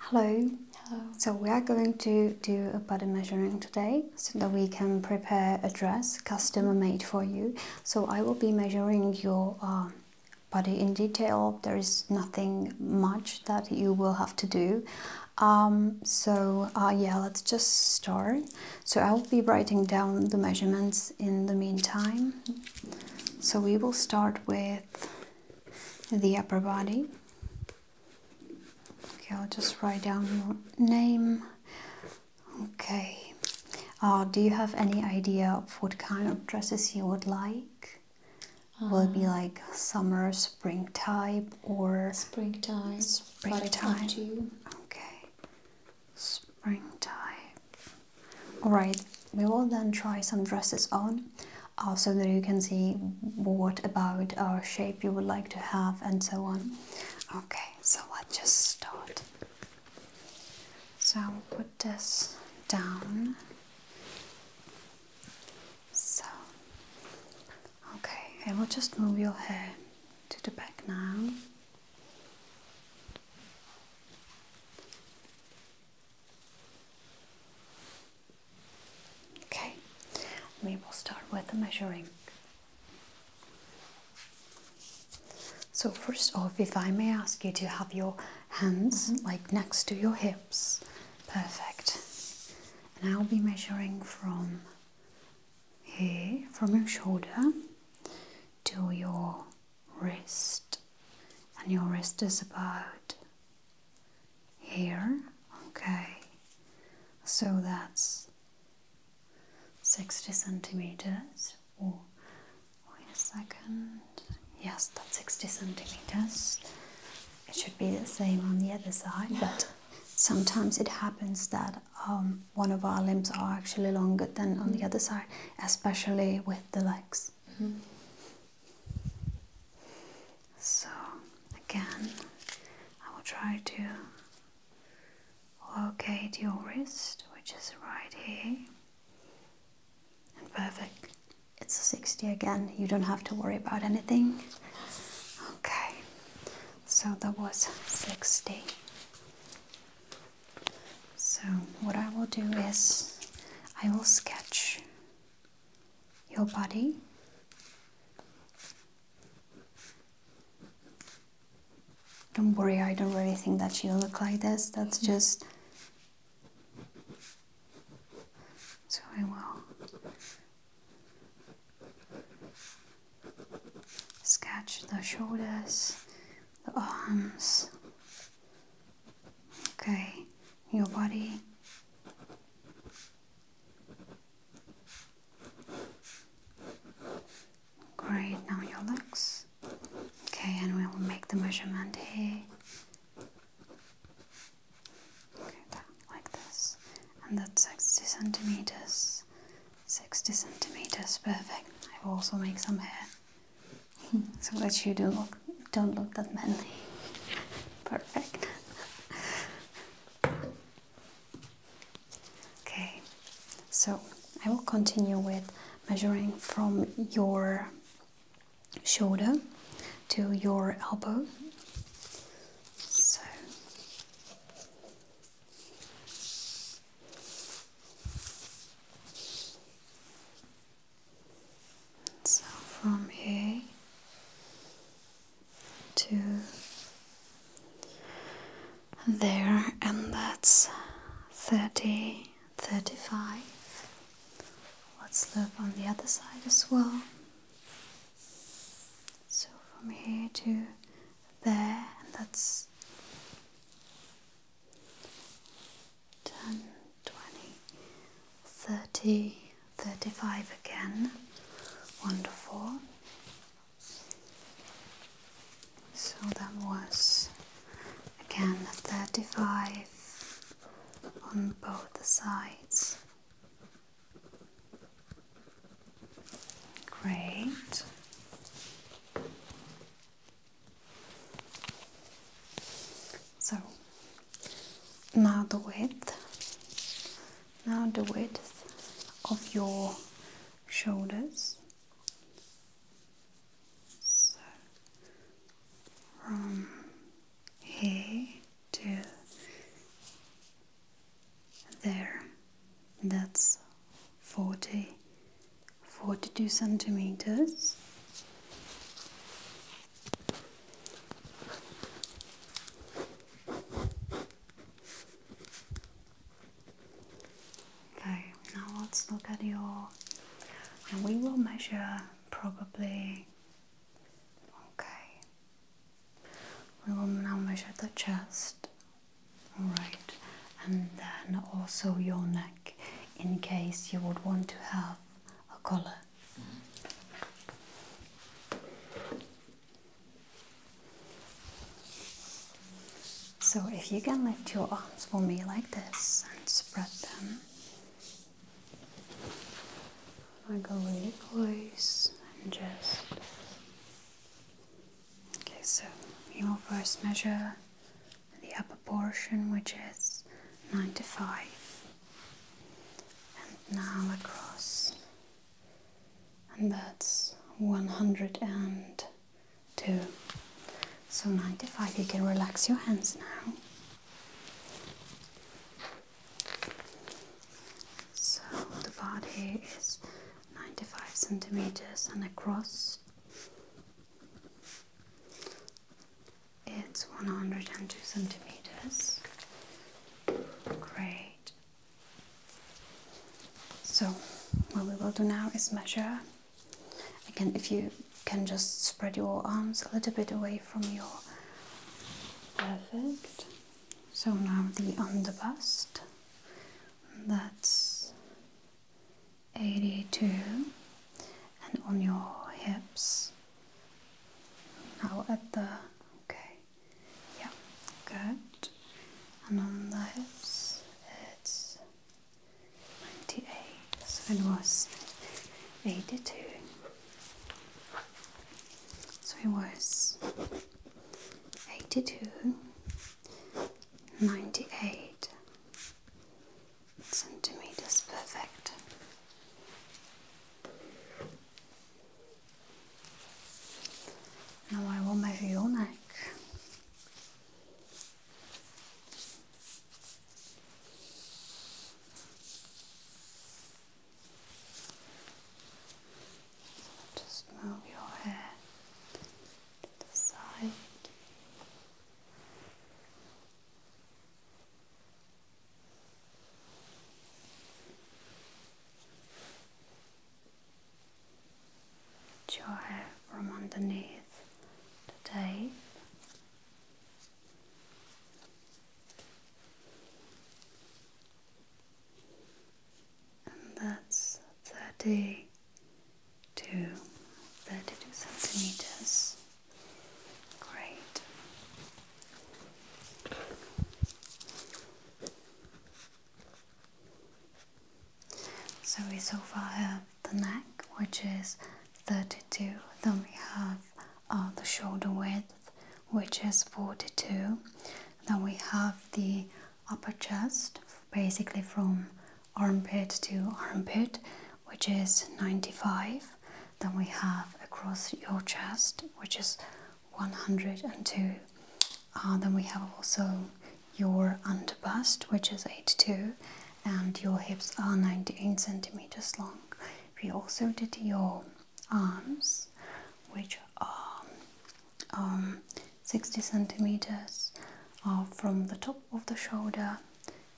Hello. Hello. So we are going to do a body measuring today so that we can prepare a dress customer made for you. So I will be measuring your uh, body in detail. There is nothing much that you will have to do. Um, so uh, yeah, let's just start. So I'll be writing down the measurements in the meantime. So we will start with the upper body. Okay, I'll just write down your name. Okay. Uh, do you have any idea of what kind of dresses you would like? Will be uh, like summer, spring type, or spring type? Spring type. Okay. Springtime. all right we will then try some dresses on uh, so that you can see what about our shape you would like to have and so on okay so let's just start so I'll put this down so okay I will just move your hair to the back now Okay, we will start with the measuring. So, first off, if I may ask you to have your hands mm-hmm. like next to your hips, perfect. And I'll be measuring from here from your shoulder to your wrist, and your wrist is about here, okay? So that's 60 centimeters. Or wait a second, yes, that's 60 centimeters. It should be the same on the other side, but sometimes it happens that um, one of our limbs are actually longer than on the mm. other side, especially with the legs. Mm-hmm. So, again, I will try to locate your wrist, which is right here. And perfect. It's a 60 again, you don't have to worry about anything. Okay, so that was 60 so what i will do is i will sketch your body don't worry i don't really think that you look like this that's just so i will Sketch the shoulders, the arms, okay, your body. Great, now your legs. Okay, and we will make the measurement here. like this, and that's 60 centimeters. 60 centimeters perfect I will also make some hair so that you don't look, don't look that manly perfect okay so I will continue with measuring from your shoulder to your elbow so so from here to there, and that's 30, 35. Let's look on the other side as well. So from here to there, and that's 10, 30, 35 again. Wonderful. So that was again 35 on both the sides. Great. So now the width. Now the width of your shoulders. So from here to there that's 40 42 centimeters okay now let's look at your and we will measure probably okay we will now measure the chest all right, and then also your neck in case you would want to have a collar. So, if you can lift your arms for me like this and spread them, I go really close and just Okay, so you will first measure the upper portion, which is 95, and now across, and that's 102. So 95, you can relax your hands now. So the body is 95 centimeters and across it's 102 centimeters. Great. So, what we will do now is measure. Again, if you can just spread your arms a little bit away from your perfect. So, now the under bust that's 82 and on your hips now at the okay yeah good and on the hips it's 98 so it was 82 so it was 82 98 centimeters perfect now I will measure your neck just move your hair to the side. your hair from underneath the tape that's 32, 32 centimeters. Great. So we so far have the neck, which is 32. Then we have uh, the shoulder width, which is 42. Then we have the upper chest, basically from armpit to armpit, which is 95. Then we have across your chest, which is 102. Uh, then we have also your under bust, which is 82, and your hips are 98 centimeters long. We also did your arms, which are um, 60 centimeters uh, from the top of the shoulder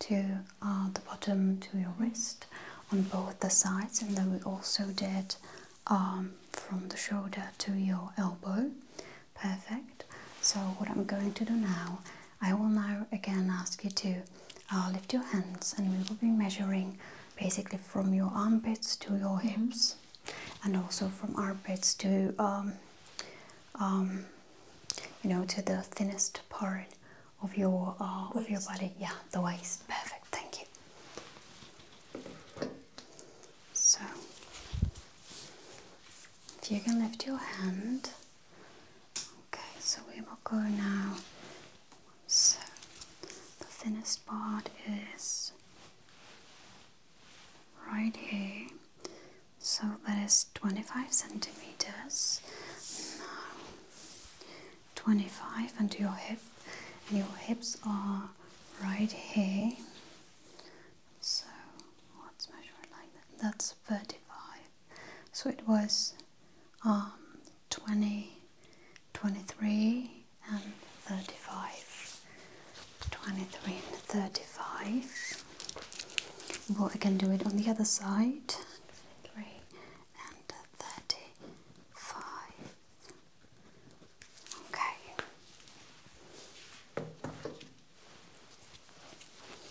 to uh, the bottom to your wrist on both the sides and then we also did um, from the shoulder to your elbow perfect so what i'm going to do now i will now again ask you to uh, lift your hands and we will be measuring basically from your armpits to your mm-hmm. hips and also from armpits to um, um, you know to the thinnest part of your uh, of your body. Yeah, the waist. Perfect. Thank you. So, if you can lift your hand. Okay, so we will go now. So, the thinnest part is right here. So that is 25 centimeters. Now 25 and your hip and your hips are right here. So let's measure like that. That's 35. So it was um 20 23 and 35 23 and 35 but we can do it on the other side 23 and 35 okay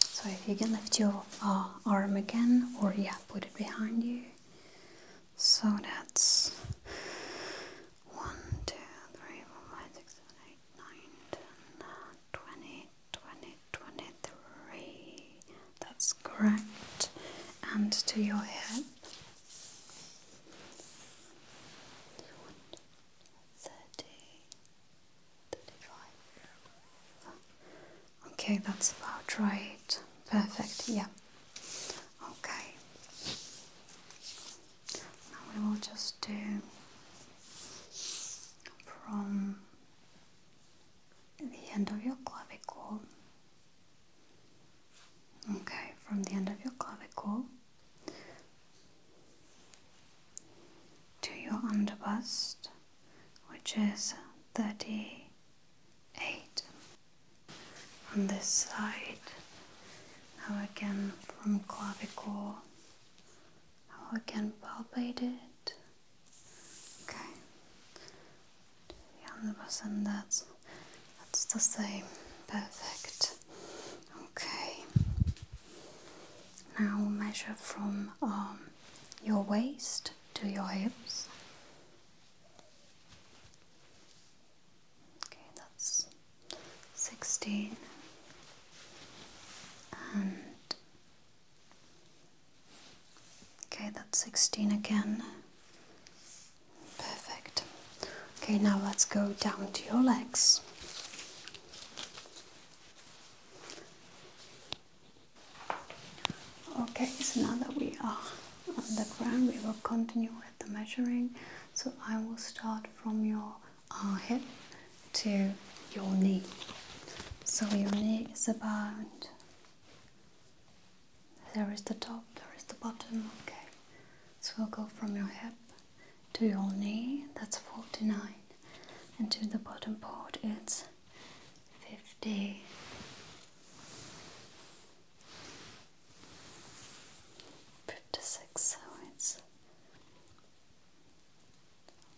so if you can lift your uh, arm again or yeah put it behind you so that's one, two, three, four, five, six, seven, eight, nine, ten, twenty, twenty, twenty-three. That's correct. And to your head. Okay, that's about right. Perfect, yeah. Okay. we will just do from the end of your clavicle. Okay, from the end of your clavicle to your underbust, which is 38 on this side Now again from clavicle Now again can palpate it okay yeah and that's that's the same perfect okay now measure from um, your waist to your hips Okay, that's 16 and okay, that's 16 again. Perfect. Okay, now let's go down to your legs. Okay, so now that we are on the ground we will continue with the measuring so i will start from your uh, hip to your knee so your knee is about there is the top there is the bottom okay so we'll go from your hip to your knee that's 49 and to the bottom part it's 50 fifty six, so it's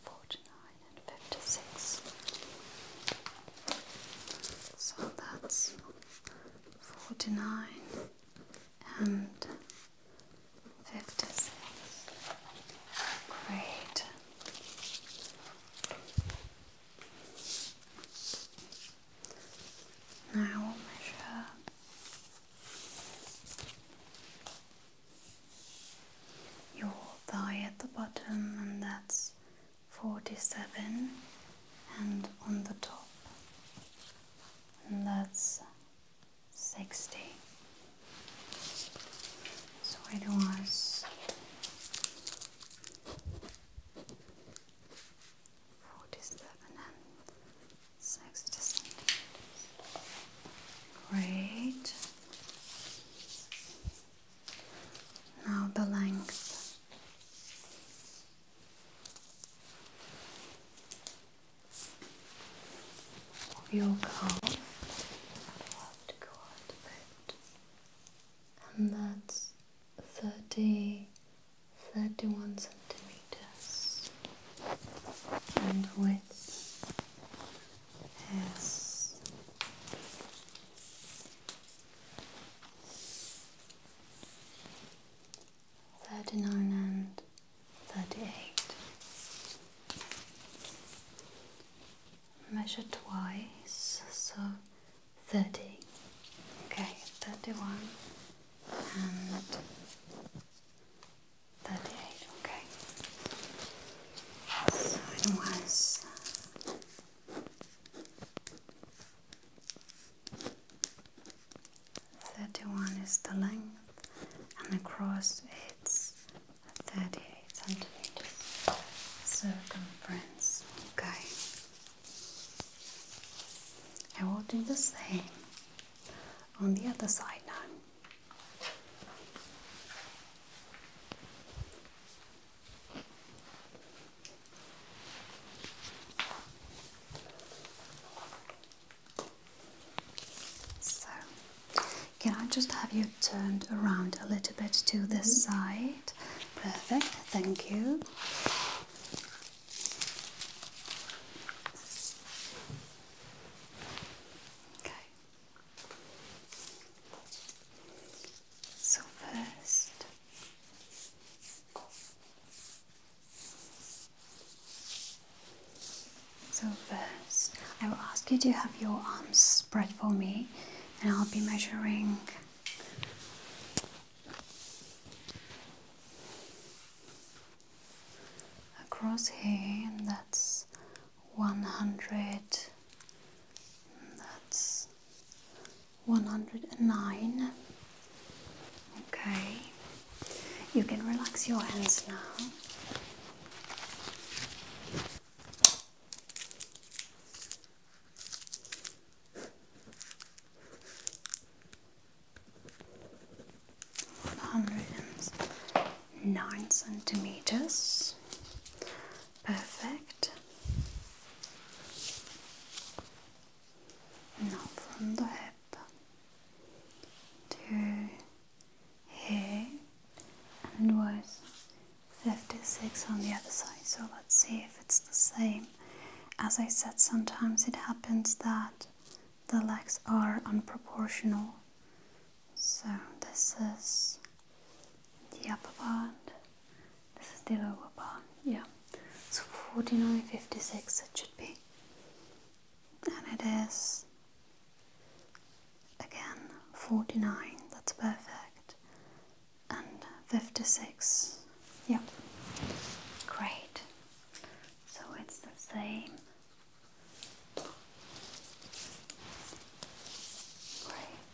forty nine and fifty six. So that's forty nine and fifty six. Great. Now we'll measure your thigh at the bottom, and that's 47, and on the top, and that's 60. So it was 47 and 67. Great. Now the length. Of your calf. will have And that's thirty 31 centimeters and width is 39 and 38 measure twice so thirty. Okay, thirty-one and thirty-eight. Okay. So it was. Thirty one is the length and across it's thirty eight centimeters circumference. Okay. I will do the same on the other side now. So, can I just have you turned around a little bit to this mm-hmm. side? Perfect, thank you. Okay. So first. So first, I will ask you to have your arms spread for me, and I'll be measuring across here that's 100 that's 109 okay you can relax your hands now 109 centimeters. Perfect. Now from the hip to here and was 56 on the other side. So let's see if it's the same. As I said, sometimes it happens that the legs are unproportional. So this is the upper part, this is the lower part, yeah. So 49.56 it should be. And it is again 49, that's perfect and 56 yep great so it's the same great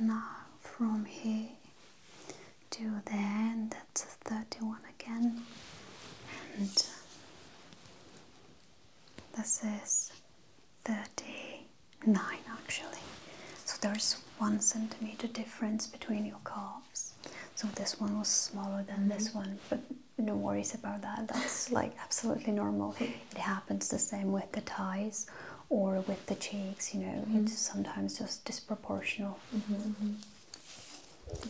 now from here to there and that's 31 again and this is 39 actually so there's one centimeter difference between your calves. So this one was smaller than this mm-hmm. one, but no worries about that. That's like absolutely normal. It happens the same with the thighs or with the cheeks. You know, mm-hmm. it's sometimes just disproportional. Mm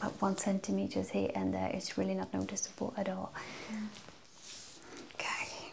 But one centimeter here and there, it's really not noticeable at all. Okay.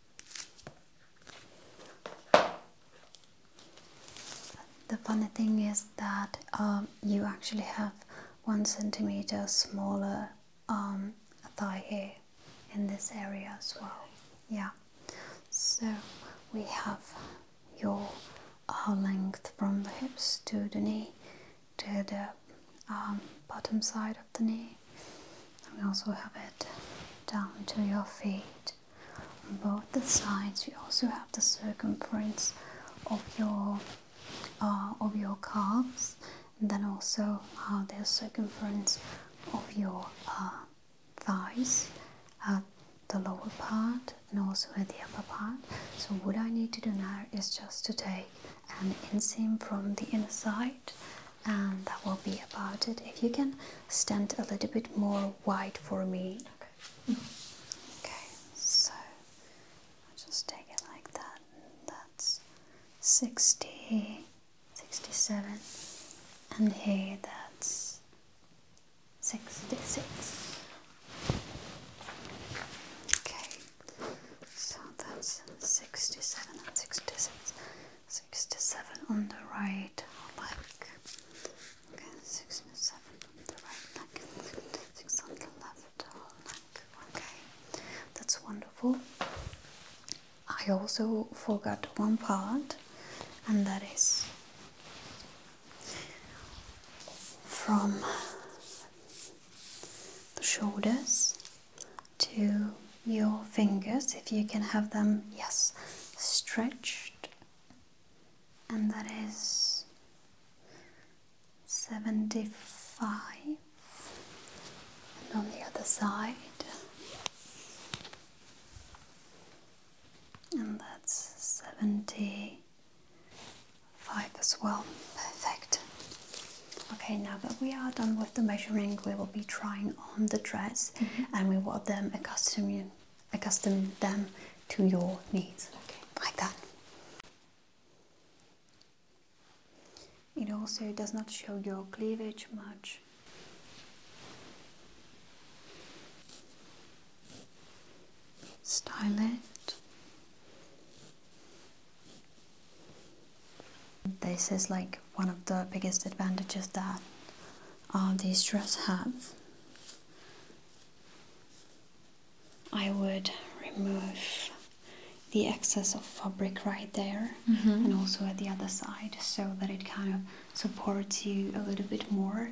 The funny thing is that um, you actually have one centimeter smaller um, thigh here in this area as well. Yeah, so we have your uh, length from the hips to the knee to the um, bottom side of the knee and we also have it down to your feet on both the sides you also have the circumference of your uh, of your calves and then also uh, the circumference of your uh, thighs at the lower part and also at the upper part so what I need to do now is just to take an inseam from the inside and um, that will be about it. If you can stand a little bit more wide for me. Okay. Okay, so I'll just take it like that. That's 60, 67, and here that's 66. Okay, so that's 67 66. 67 on the right leg. Okay, 67 on the right leg and on the left leg. Okay, that's wonderful. I also forgot one part, and that is from the shoulders to your fingers if you can have them, yes, stretched, and that is 75, and on the other side, and that's 75 as well. Perfect. Okay, now that we are done with the measuring, we will be trying on the dress mm-hmm. and we want them accustomed you, them to your needs. Like that. It also does not show your cleavage much. Style it. This is like one of the biggest advantages that uh, these dresses have. I would remove the excess of fabric right there mm-hmm. and also at the other side so that it kind of supports you a little bit more.